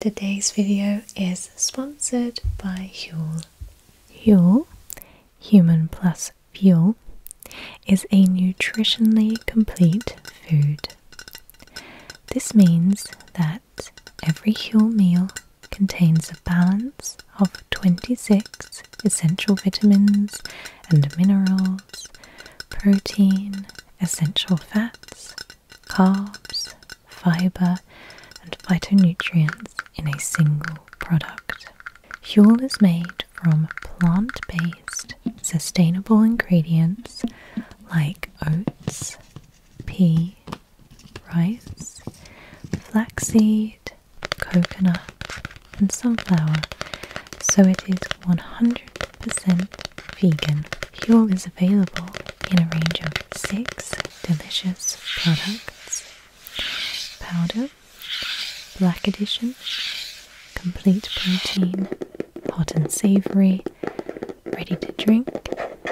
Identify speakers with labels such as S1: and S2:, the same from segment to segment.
S1: Today's video is sponsored by Huel. Huel, Human Plus Fuel, is a nutritionally complete food. This means that every Huel meal contains a balance of 26 essential vitamins and minerals, protein, essential fats, carbs, fiber, and phytonutrients in a single product. Fuel is made from plant based sustainable ingredients like oats, pea, rice, flaxseed, coconut, and sunflower, so it is 100% vegan fuel is available in a range of six delicious products powder, black edition, complete protein, hot and savory, ready to drink,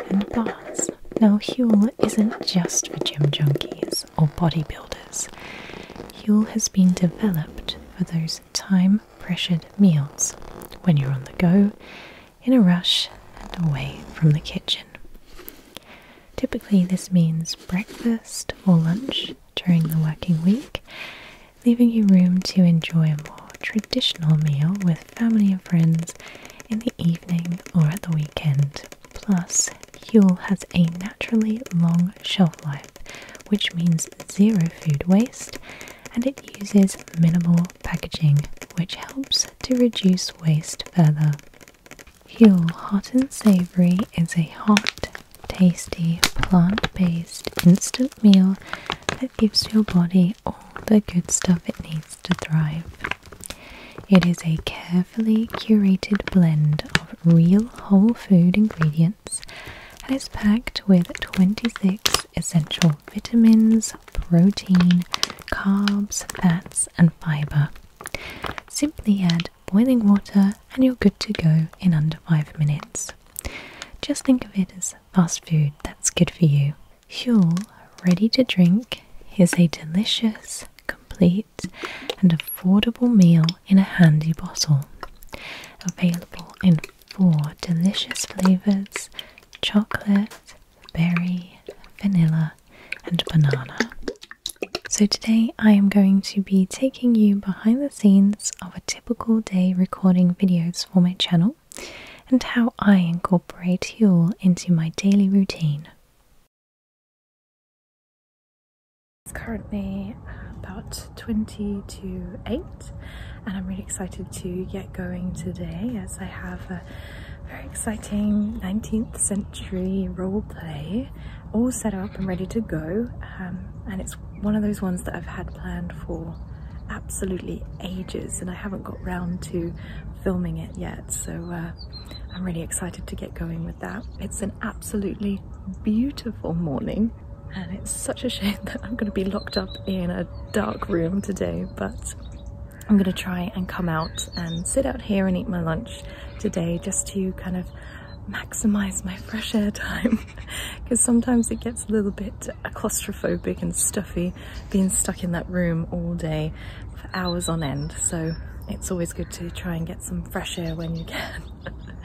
S1: and bars. Now, Huel isn't just for gym junkies or bodybuilders. Huel has been developed for those time pressured meals when you're on the go in a rush and away from the kitchen. Typically, this means breakfast or lunch during the working week, leaving you room to enjoy a more traditional meal with family and friends in the evening or at the weekend. Plus, Huel has a naturally long shelf life, which means zero food waste and it uses minimal packaging, which helps to reduce waste further. Huel Hot and Savory is a hot, tasty, plant based instant meal that gives your body all the good stuff it needs to thrive. It is a carefully curated blend of real whole food ingredients and is packed with 26 essential vitamins, protein, carbs, fats, and fiber. Simply add boiling water and you're good to go in under five minutes. Just think of it as fast food that's good for you. Huel Ready to Drink is a delicious, complete, and affordable meal in a handy bottle. Available in four delicious flavors chocolate, berry, vanilla, and banana. So, today I am going to be taking you behind the scenes of a typical day recording videos for my channel and how I incorporate Huel into my daily routine. It's currently about 20 to 8 and I'm really excited to get going today as I have a very exciting 19th century role play all set up and ready to go um, and it's one of those ones that I've had planned for absolutely ages and I haven't got round to filming it yet so uh, I'm really excited to get going with that. It's an absolutely beautiful morning and it's such a shame that I'm going to be locked up in a dark room today but I'm going to try and come out and sit out here and eat my lunch today just to kind of maximize my fresh air time because sometimes it gets a little bit claustrophobic and stuffy being stuck in that room all day for hours on end so it's always good to try and get some fresh air when you can.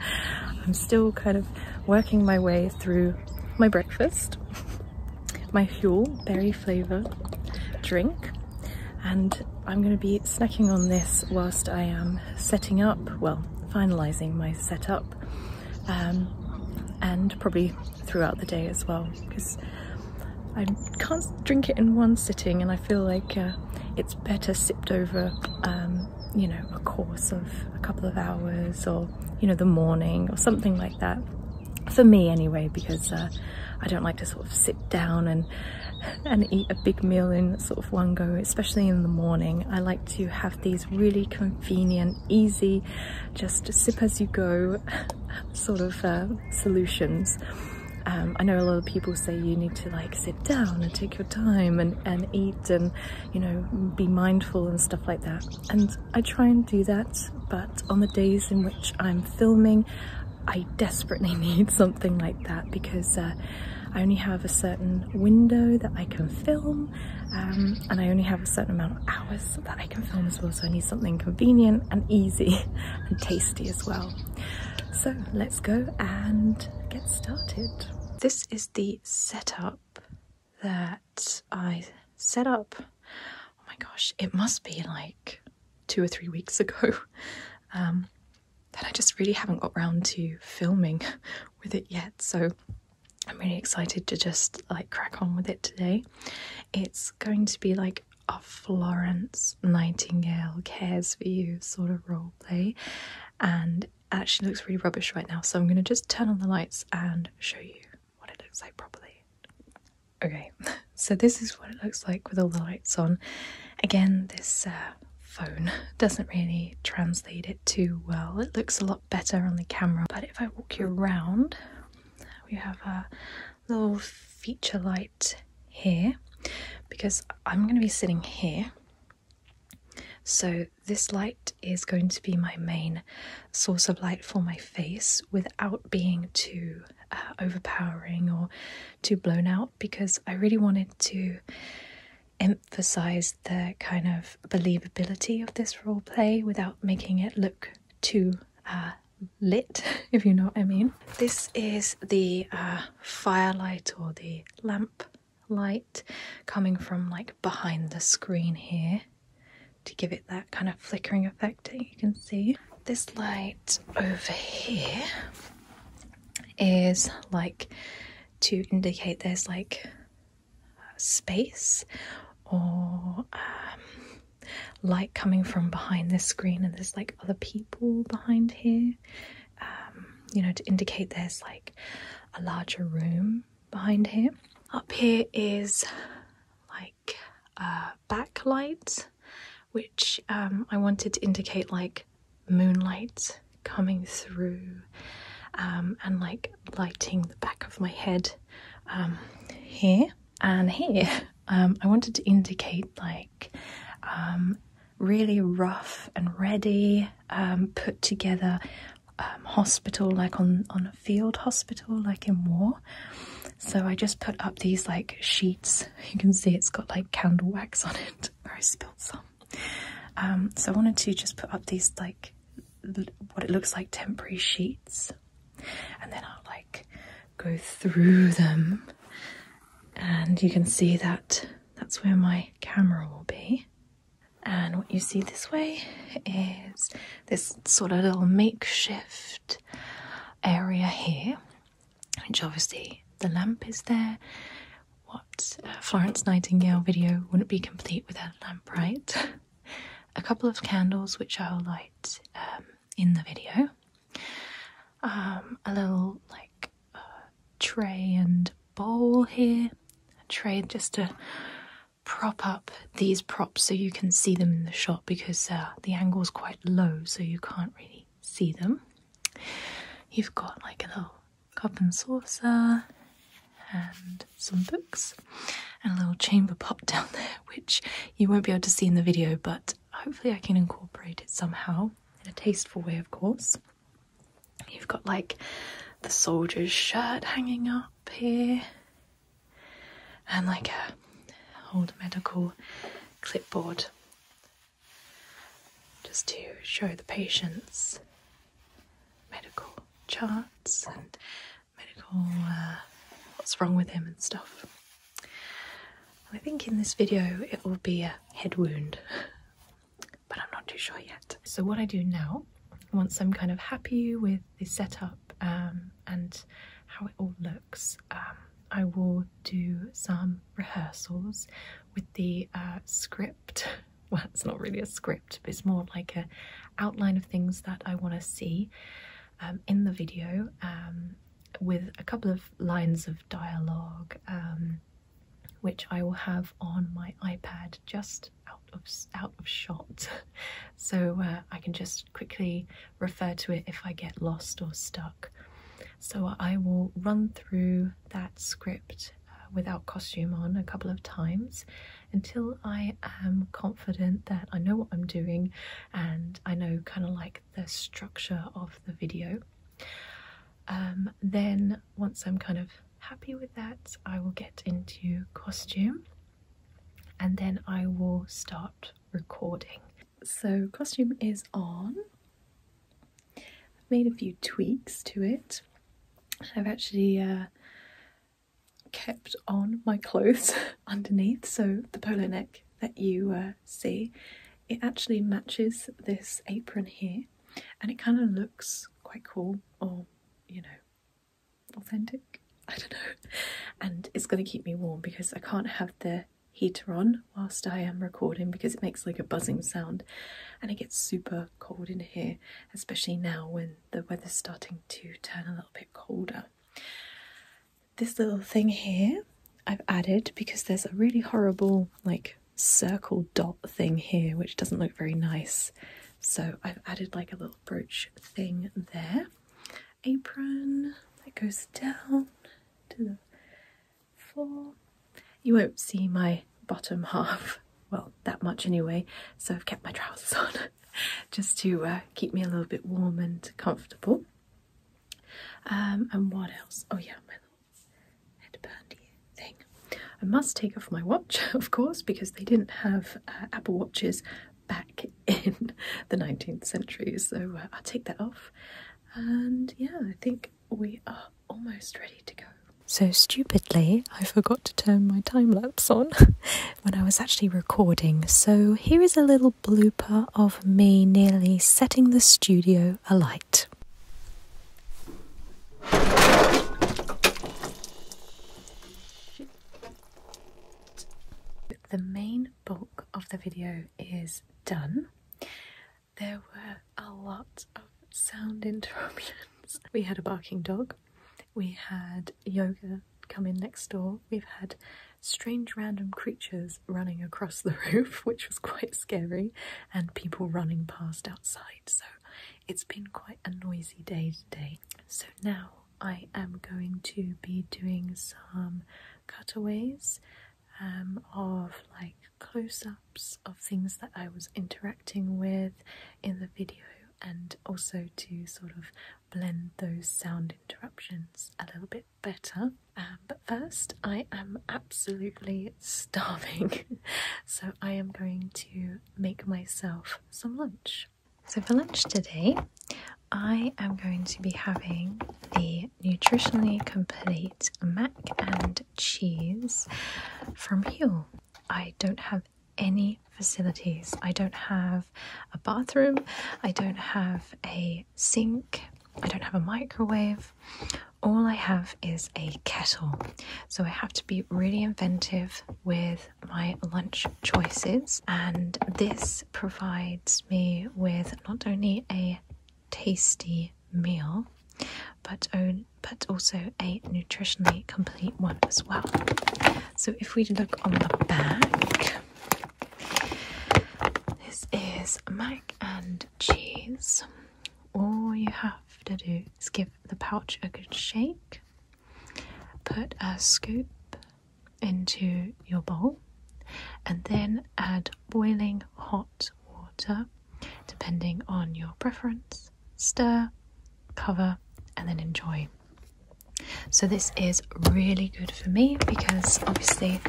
S1: I'm still kind of working my way through my breakfast, my fuel berry flavour drink and I'm going to be snacking on this whilst I am setting up, well finalising my setup um, and probably throughout the day as well because I can't drink it in one sitting and I feel like uh, it's better sipped over um, you know a course of a couple of hours or, you know, the morning or something like that. For me anyway, because uh, I don't like to sort of sit down and and eat a big meal in sort of one go, especially in the morning. I like to have these really convenient, easy, just sip as you go sort of uh, solutions. Um, I know a lot of people say you need to like sit down and take your time and, and eat and, you know, be mindful and stuff like that and I try and do that but on the days in which I'm filming I desperately need something like that because uh, I only have a certain window that I can film um, and I only have a certain amount of hours that I can film as well so I need something convenient and easy and tasty as well. So let's go and get started. This is the setup that I set up. Oh my gosh, it must be like two or three weeks ago. Um, that I just really haven't got round to filming with it yet. So I'm really excited to just like crack on with it today. It's going to be like a Florence Nightingale cares for you sort of role play, and actually looks really rubbish right now, so I'm going to just turn on the lights and show you what it looks like properly. Okay, so this is what it looks like with all the lights on. Again, this uh, phone doesn't really translate it too well. It looks a lot better on the camera, but if I walk you around, we have a little feature light here because I'm going to be sitting here so, this light is going to be my main source of light for my face without being too uh, overpowering or too blown out because I really wanted to emphasize the kind of believability of this role play without making it look too uh, lit, if you know what I mean. This is the uh, firelight or the lamp light coming from like behind the screen here to give it that kind of flickering effect you can see. This light over here is like to indicate there's like space or um, light coming from behind this screen and there's like other people behind here um, you know to indicate there's like a larger room behind here. Up here is like a backlight, which um, I wanted to indicate like moonlight coming through um, and like lighting the back of my head um, here and here. I wanted to indicate like really rough and ready um, put together um, hospital, like on, on a field hospital, like in war. So I just put up these like sheets. You can see it's got like candle wax on it where I spilled some. Um, so I wanted to just put up these like what it looks like temporary sheets and then I'll like go through them and you can see that that's where my camera will be and what you see this way is this sort of little makeshift area here, which obviously the lamp is there. What uh, Florence Nightingale video wouldn't be complete without a lamp, right? a couple of candles, which I'll light um, in the video. Um, a little like uh, tray and bowl here, a tray just to prop up these props so you can see them in the shot because uh, the angle is quite low so you can't really see them. You've got like a little cup and saucer and some books and a little chamber pot down there which you won't be able to see in the video but hopefully I can incorporate it somehow in a tasteful way of course. You've got like the soldier's shirt hanging up here, and like a old medical clipboard just to show the patients medical charts and medical uh, what's wrong with him and stuff. I think in this video it will be a head wound but I'm not too sure yet. So what I do now, once I'm kind of happy with the setup um, and how it all looks, um, I will do some rehearsals with the uh, script. Well, it's not really a script, but it's more like an outline of things that I want to see um, in the video with a couple of lines of dialogue which I will have on my iPad just out of out of shot so uh, I can just quickly refer to it if I get lost or stuck so I will run through that script uh, without costume on a couple of times until I am confident that I know what I'm doing and I know kind of like the structure of the video um, then once I'm kind of happy with that, I will get into costume and then I will start recording. So, costume is on. I've made a few tweaks to it. I've actually uh, kept on my clothes underneath, so the polo neck that you uh, see, it actually matches this apron here and it kind of looks quite cool or you know authentic i don't know and it's going to keep me warm because i can't have the heater on whilst i am recording because it makes like a buzzing sound and it gets super cold in here especially now when the weather's starting to turn a little bit colder this little thing here i've added because there's a really horrible like circle dot thing here, which doesn't look very nice. So I've added like a little brooch thing there. Apron that goes down to the floor. You won't see my bottom half, well, that much anyway, so I've kept my trousers on just to uh, keep me a little bit warm and comfortable. Um, and what else? Oh, yeah, my little headband thing. I must take off my watch, of course, because they didn't have uh, Apple Watches back in the 19th century, so uh, I'll take that off. And yeah, I think we are almost ready to go. So stupidly, I forgot to turn my time lapse on when I was actually recording. So here is a little blooper of me nearly setting the studio alight. The main bulk of the video is done. There were a lot of sound interruptions. We had a barking dog, we had yoga come in next door, we've had strange random creatures running across the roof, which was quite scary, and people running past outside. So it's been quite a noisy day today. So now I am going to be doing some cutaways um, of like close ups of things that I was interacting with in the video and also to sort of blend those sound interruptions a little bit better. Um, but first, I am absolutely starving, so I am going to make myself some lunch. So, for lunch today, I am going to be having the nutritionally complete mac and cheese from Huel. I don't have any facilities, I don't have a bathroom, I don't have a sink, I don't have a microwave all I have is a kettle, so I have to be really inventive with my lunch choices, and this provides me with not only a tasty meal but but also a nutritionally complete one as well. So if we look on the back, this is mac and cheese. All you have to do is give the pouch a good shake, put a scoop into your bowl, and then add boiling hot water depending on your preference. Stir, cover, and then enjoy. So, this is really good for me because obviously,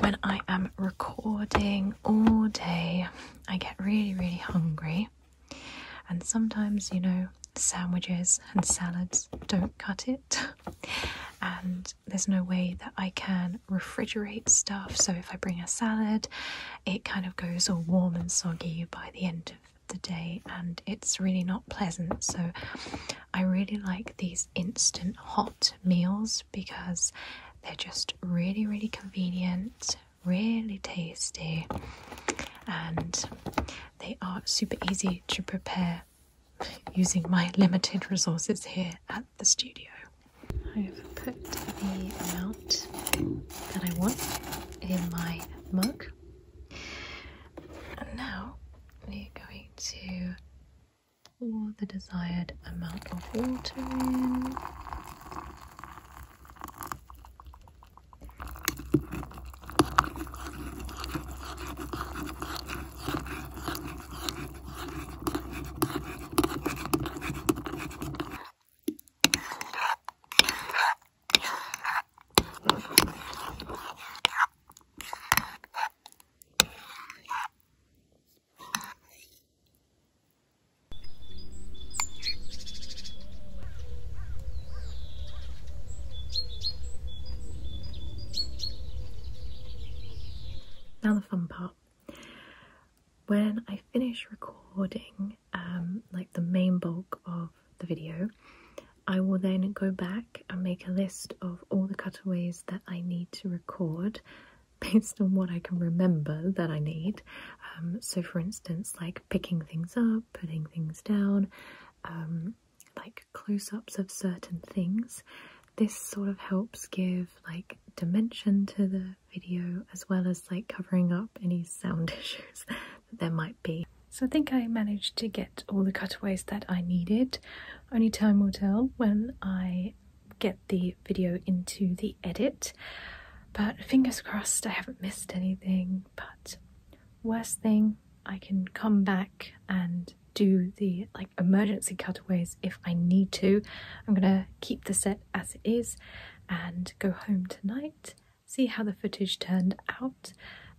S1: when I am recording all day, I get really, really hungry. And sometimes, you know, sandwiches and salads don't cut it. And there's no way that I can refrigerate stuff. So if I bring a salad, it kind of goes all warm and soggy by the end of the day and it's really not pleasant. So I really like these instant hot meals because they're just really, really convenient, really tasty, and they are super easy to prepare using my limited resources here at the studio. I've put the amount that I want in my mug. And now we're going to or the desired amount of water in. Now the fun part. When I finish recording, um, like the main bulk of the video, I will then go back and make a list of all the cutaways that I need to record based on what I can remember that I need. Um, so, for instance, like picking things up, putting things down, um, like close ups of certain things. This sort of helps give like dimension to the video as well as like covering up any sound issues that there might be. So I think I managed to get all the cutaways that I needed. Only time will tell when I get the video into the edit. But fingers crossed, I haven't missed anything. But worst thing, I can come back and do the like emergency cutaways if I need to. I'm gonna keep the set as it is and go home tonight, see how the footage turned out,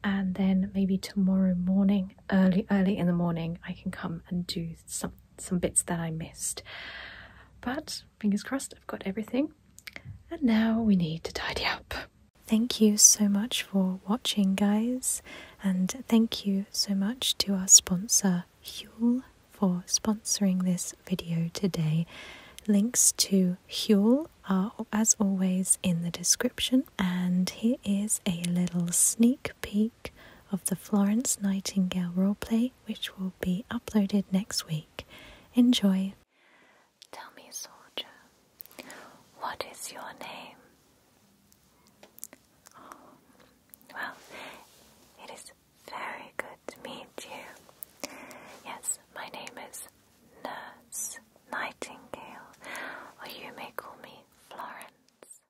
S1: and then maybe tomorrow morning, early, early in the morning, I can come and do something some bits that I missed. But fingers crossed, I've got everything. And now we need to tidy up. Thank you so much for watching, guys, and thank you so much to our sponsor, Huel, for sponsoring this video today. Links to Huel are, as always, in the description, and here is a little sneak peek of the Florence Nightingale roleplay, which will be uploaded next week. Enjoy! Tell me, soldier, what is your name? well, it is very good to meet you. Yes, my name is Nurse Nightingale, or you may call me Florence.